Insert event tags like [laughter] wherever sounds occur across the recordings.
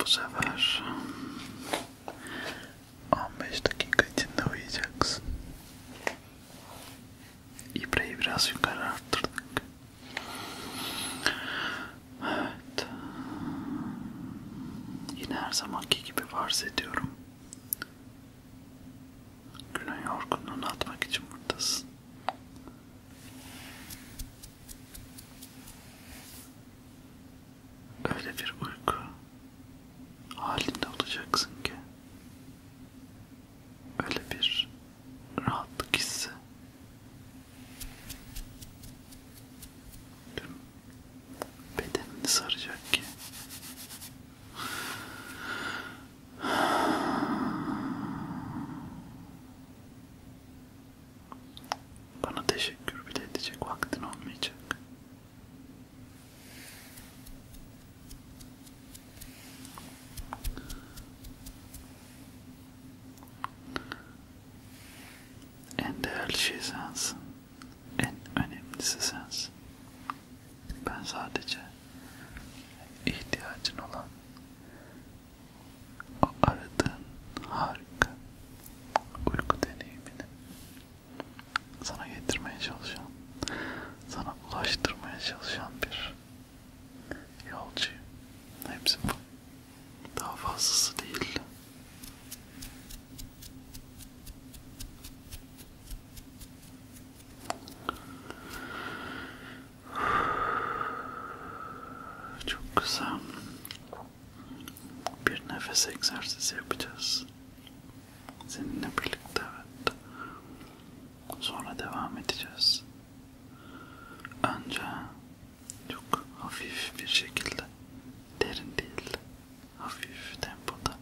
Bu sefer 15 dakika içinde uyuyacaksın. İbreyi biraz yukarı arttırdık. Evet. Yine her zamanki gibi farz ediyorum. Günün yorgunluğunu atmak için buradasın. Öyle bir uyku halinde olacaksın ki öyle bir rahatlık hissi tüm bedenini saracak ki bana teşekkür bile edecek vaktin olmayacak. En değerli şey sensin. En önemlisi sensin. Ben sadece ihtiyacın olan o aradığın harika uyku deneyimini sana getirmeye çalışan, sana ulaştırmaya çalışan bir yolcuyum. Hepsi bu. Daha fazlası değil. Çok kısa bir nefes egzersizi yapacağız. Seninle birlikte evet. Sonra devam edeceğiz. Önce çok hafif bir şekilde, derin değil, hafif tempoda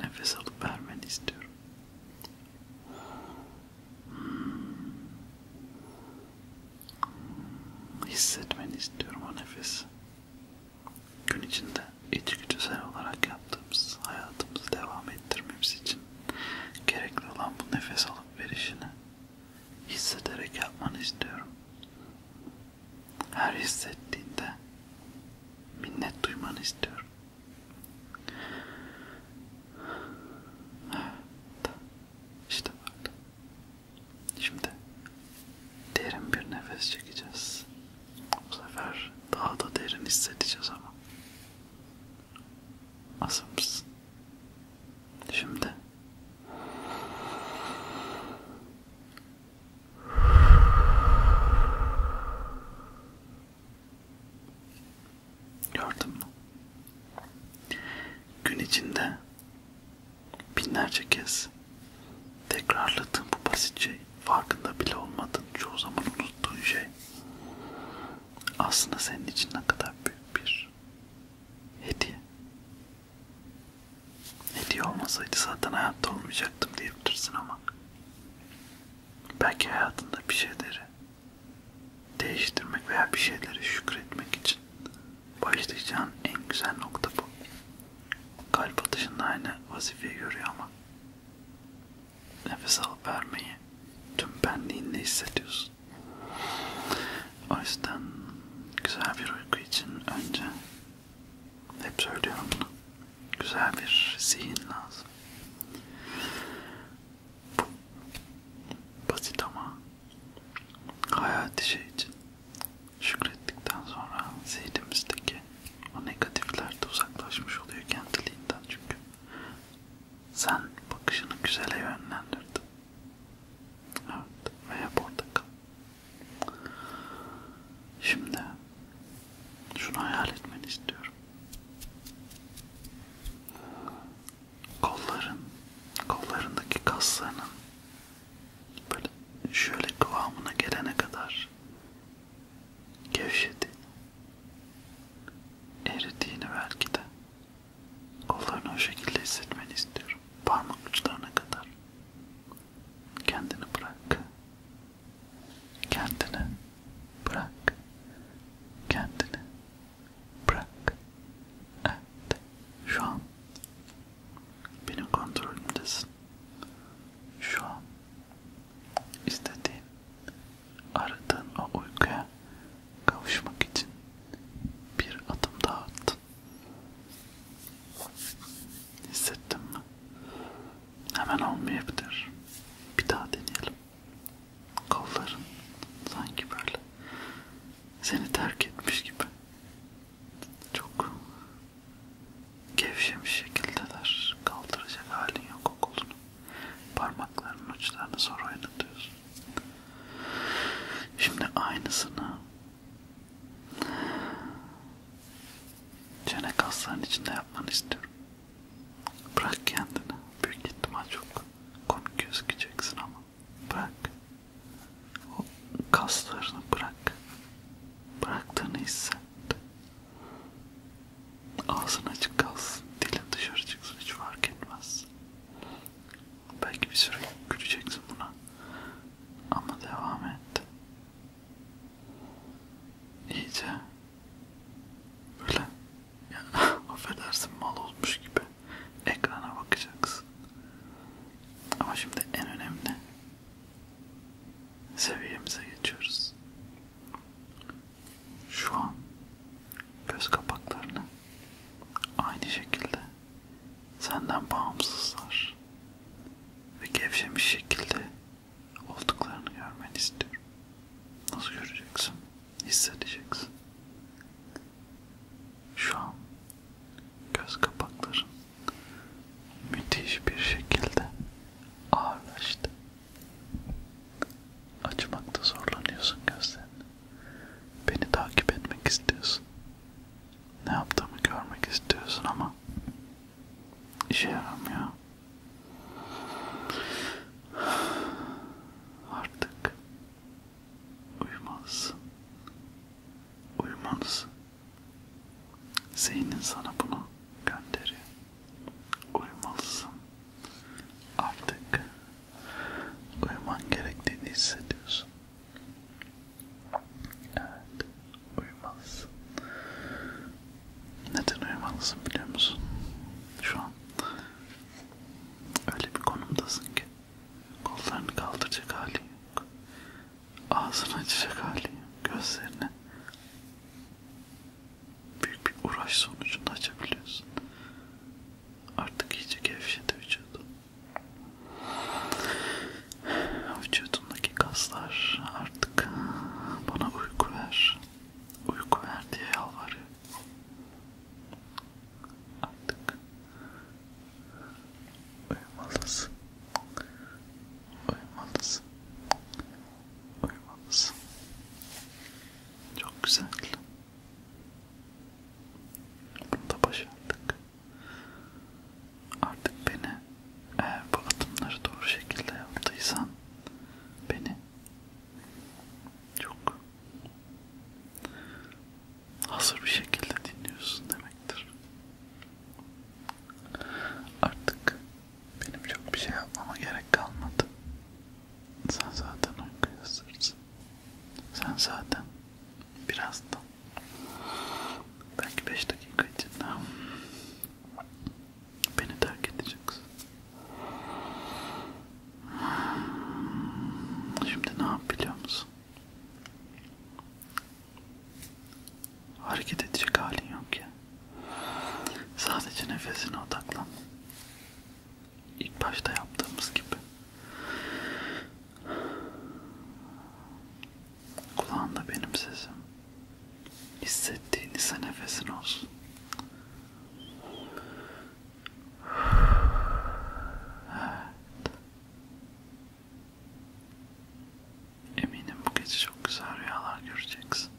nefes alıp vermeni istiyorum. Hmm. Hissetmeni istiyorum o nefesi. Gün içinde içgüdüsel olarak yaptığımız hayatımızı devam ettirmemiz için gerekli olan bu nefes alıp verişini hissederek yapmanı istiyorum. Her hissettiğinde minnet duymanı istiyorum. Evet, işte böyle. Şimdi derin bir nefes çekeceğiz. Bu sefer daha da derin hissedeceğiz ama. Hazır mısın? Şimdi Gördün mü? Gün içinde binlerce kez tekrarladığın bu basit şey, farkında bile olmadığın, çoğu zaman unuttuğun şey aslında senin için ne kadar büyük bir hediye. Hediye olmasaydı zaten hayatta olmayacaktım diyebilirsin ama belki hayatında bir şeyleri değiştirmek veya bir şeyleri şükretmek için başlayacağın en güzel nokta bu. Kalp atışında aynı vazifeyi görüyor ama nefes alıp vermeyi tüm benliğinle hissediyorsun. O yüzden güzel bir uyku için önce hep söylüyorum bunu. Güzel bir zihin lazım. Bu basit ama hayat işi için şükrettikten sonra zihnimizdeki o negatifler de uzaklaşmış oluyor kendiliğinden çünkü sen bakışını güzele yönlendirdin. Evet ve hep orada kal. Şimdi şunu hayal etmeni istiyorum. Kolların, kollarındaki kaslarının böyle şöyle kıvamına gelene kadar gevşediğini, eridiğini belki de kollarını o şekilde hissetmeni istiyorum. Parmak uçlarına kadar. Kendini bırak. Kendini bırak. Kendini bırak. Evet. Şu an benim kontrolümdesin. Şu an istediğin, aradığın o uykuya kavuşmak için bir adım daha attın. Hissettin mi? Hemen olmayabilir. Bir daha deneyelim. Kolların sanki böyle seni terk etmiş gibi. Çok gevşemiş şekildeler. Kaldıracak halin yok o kolunu. Parmaklarının uçlarını zor oynatıyorsun. Şimdi aynısını Çene kaslarının içinde yapmanı istiyorum. Bırak kendini. Büyük ihtimal çok komik gözükeceksin ama. Bırak. O kaslarını bırak. Bıraktığını hisset. Ağzın açık kalsın. Dilin dışarı çıksın. Hiç fark etmez. Belki bir süre güleceksin buna. Ama devam et. İyice böyle ya, [laughs] affedersin mal olmuş gibi ekrana bakacaksın. Ama şimdi en önemli seviyemize geçiyoruz. Şu an göz kapaklarını Aynı şekilde senden bağımsızlar ve gevşemiş şekilde olduklarını görmeni istiyorum. Nasıl göreceksin? Hissedeceksin. Şu an göz kapakların müthiş bir şekilde ağırlaştı. Açmakta zorlanıyorsun gözlerini. Beni takip etmek istiyorsun. Ne yaptığımı görmek istiyorsun ama işe yaramıyor. Artık uyumalısın. Uyumalısın. Zihnin sana bunu gönderiyor. Uyumalısın. Artık uyuman gerektiğini hissediyorsun. Evet, uyumalısın. Neden uyumalısın biliyor musun? Şu an öyle bir konumdasın ki kollarını kaldıracak hali yok, ağzını açacak hali yok, gözlerini büyük bir uğraş sonucunda açabiliyorsun. Artık iyice gevşedi vücudun. Vücudumdaki kaslar artık bana uyku ver. Uyku ver diye yalvarıyor. Artık uyumalısın. Uyumalısın. Uyumalısın. Çok güzel. Bunu da başardık. Artık beni eğer bu adımları doğru şekilde yaptıysan beni çok hazır bir şekilde dinliyorsun demektir. Artık benim çok bir şey yapmama gerek kalmadı. Sen zaten uykuya sırtsın. Sen zaten birazdan. Belki 5 dakika içinde beni terk edeceksin. Şimdi ne yap biliyor musun? Hareket edecek halin yok ya. Sadece nefesine odaklan ilk başta yaptığımız gibi kulağında benim sesim hissettiğin ise nefesin olsun evet. Eminim bu gece çok güzel rüyalar göreceksin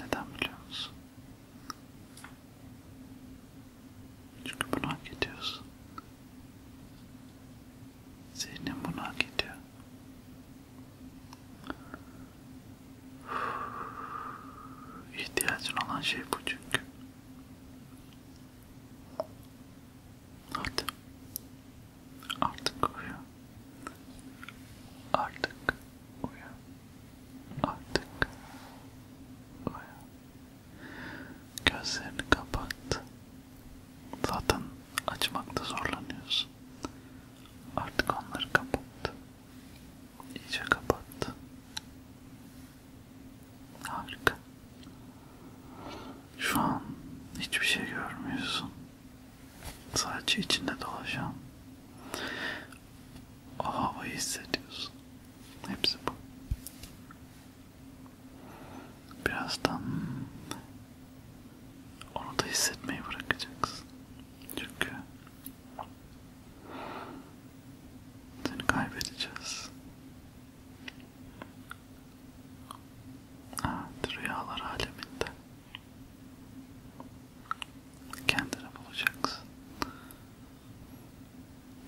neden biliyor musun? Çünkü bunu hak ediyorsun. Zihnin bunu hak ediyor. İhtiyacın olan şey bu çünkü. Hadi. Artık uyu. Artık uyu. Artık uyu. Gözlerini kapat. Zaten açmakta zorlanıyorsun. Artık onları kapat. İyice kapat. Harika. Şu an hiçbir şey görmüyorsun. Sadece içinde dolaşan o havayı hissediyorsun. Hepsi bu. Birazdan onu da hissetmeyi bırakacaksın. Çünkü seni kaybedeceğiz. Evet, rüyalar aleminde kendini bulacaksın.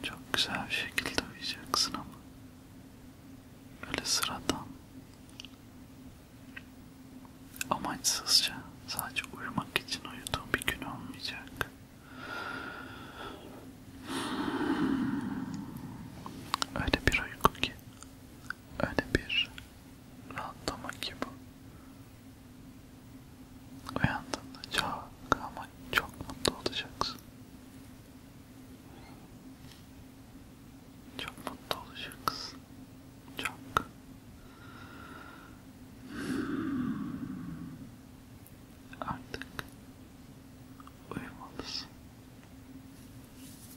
Çok güzel bir şekilde uyuyacaksın ama öyle sıradan amaçsızca sadece uyumak için uyuduğun bir gün olmayacak. Öyle bir uyku ki öyle bir rahatlama ki bu. Uyandığında çok ama çok mutlu olacaksın. Çok mutlu olacaksın. Çok. Artık uyumalısın.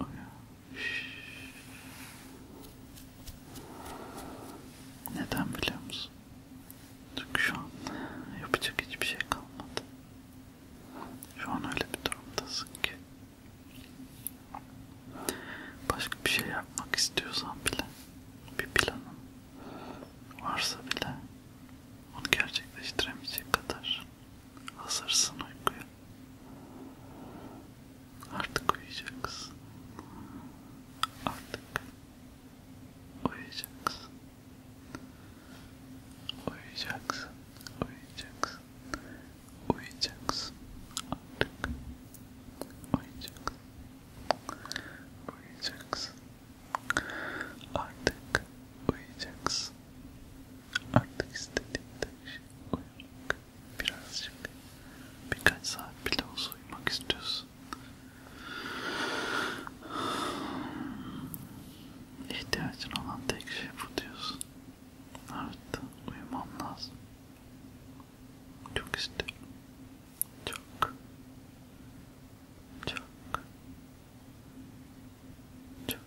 Oh ya. Neden biliyor musun? Çünkü şu an yapacak hiçbir şey kalmadı. Şu an öyle bir durumdasın ki. Başka bir şey yapmak istiyorsan bile, bir planın varsa bile onu gerçekleştiremeyecek kadar hazırsın uykuya. Artık uyuyacaksın. Artık uyuyacaksın. Uyuyacaksın. Uyuyacaksın. Uyuyacaksın. Artık uyuyacaksın. Uyuyacaksın. Artık uyuyacaksın. Artık istediğinde şey uyumak. Birazcık. Birkaç saat bile olsa uyumak istiyorsun. İhtiyacın olan tek şey bu diyorsun. Evet, uyumam lazım. Çok isterim. Çok. Çok. Çok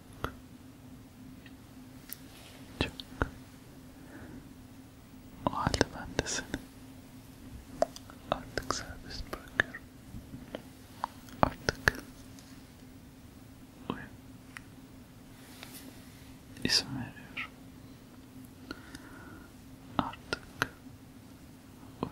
Çok O halde ben de seni Artık serbest bırakıyorum Artık Uyum İsim veriyorum Artık Uyu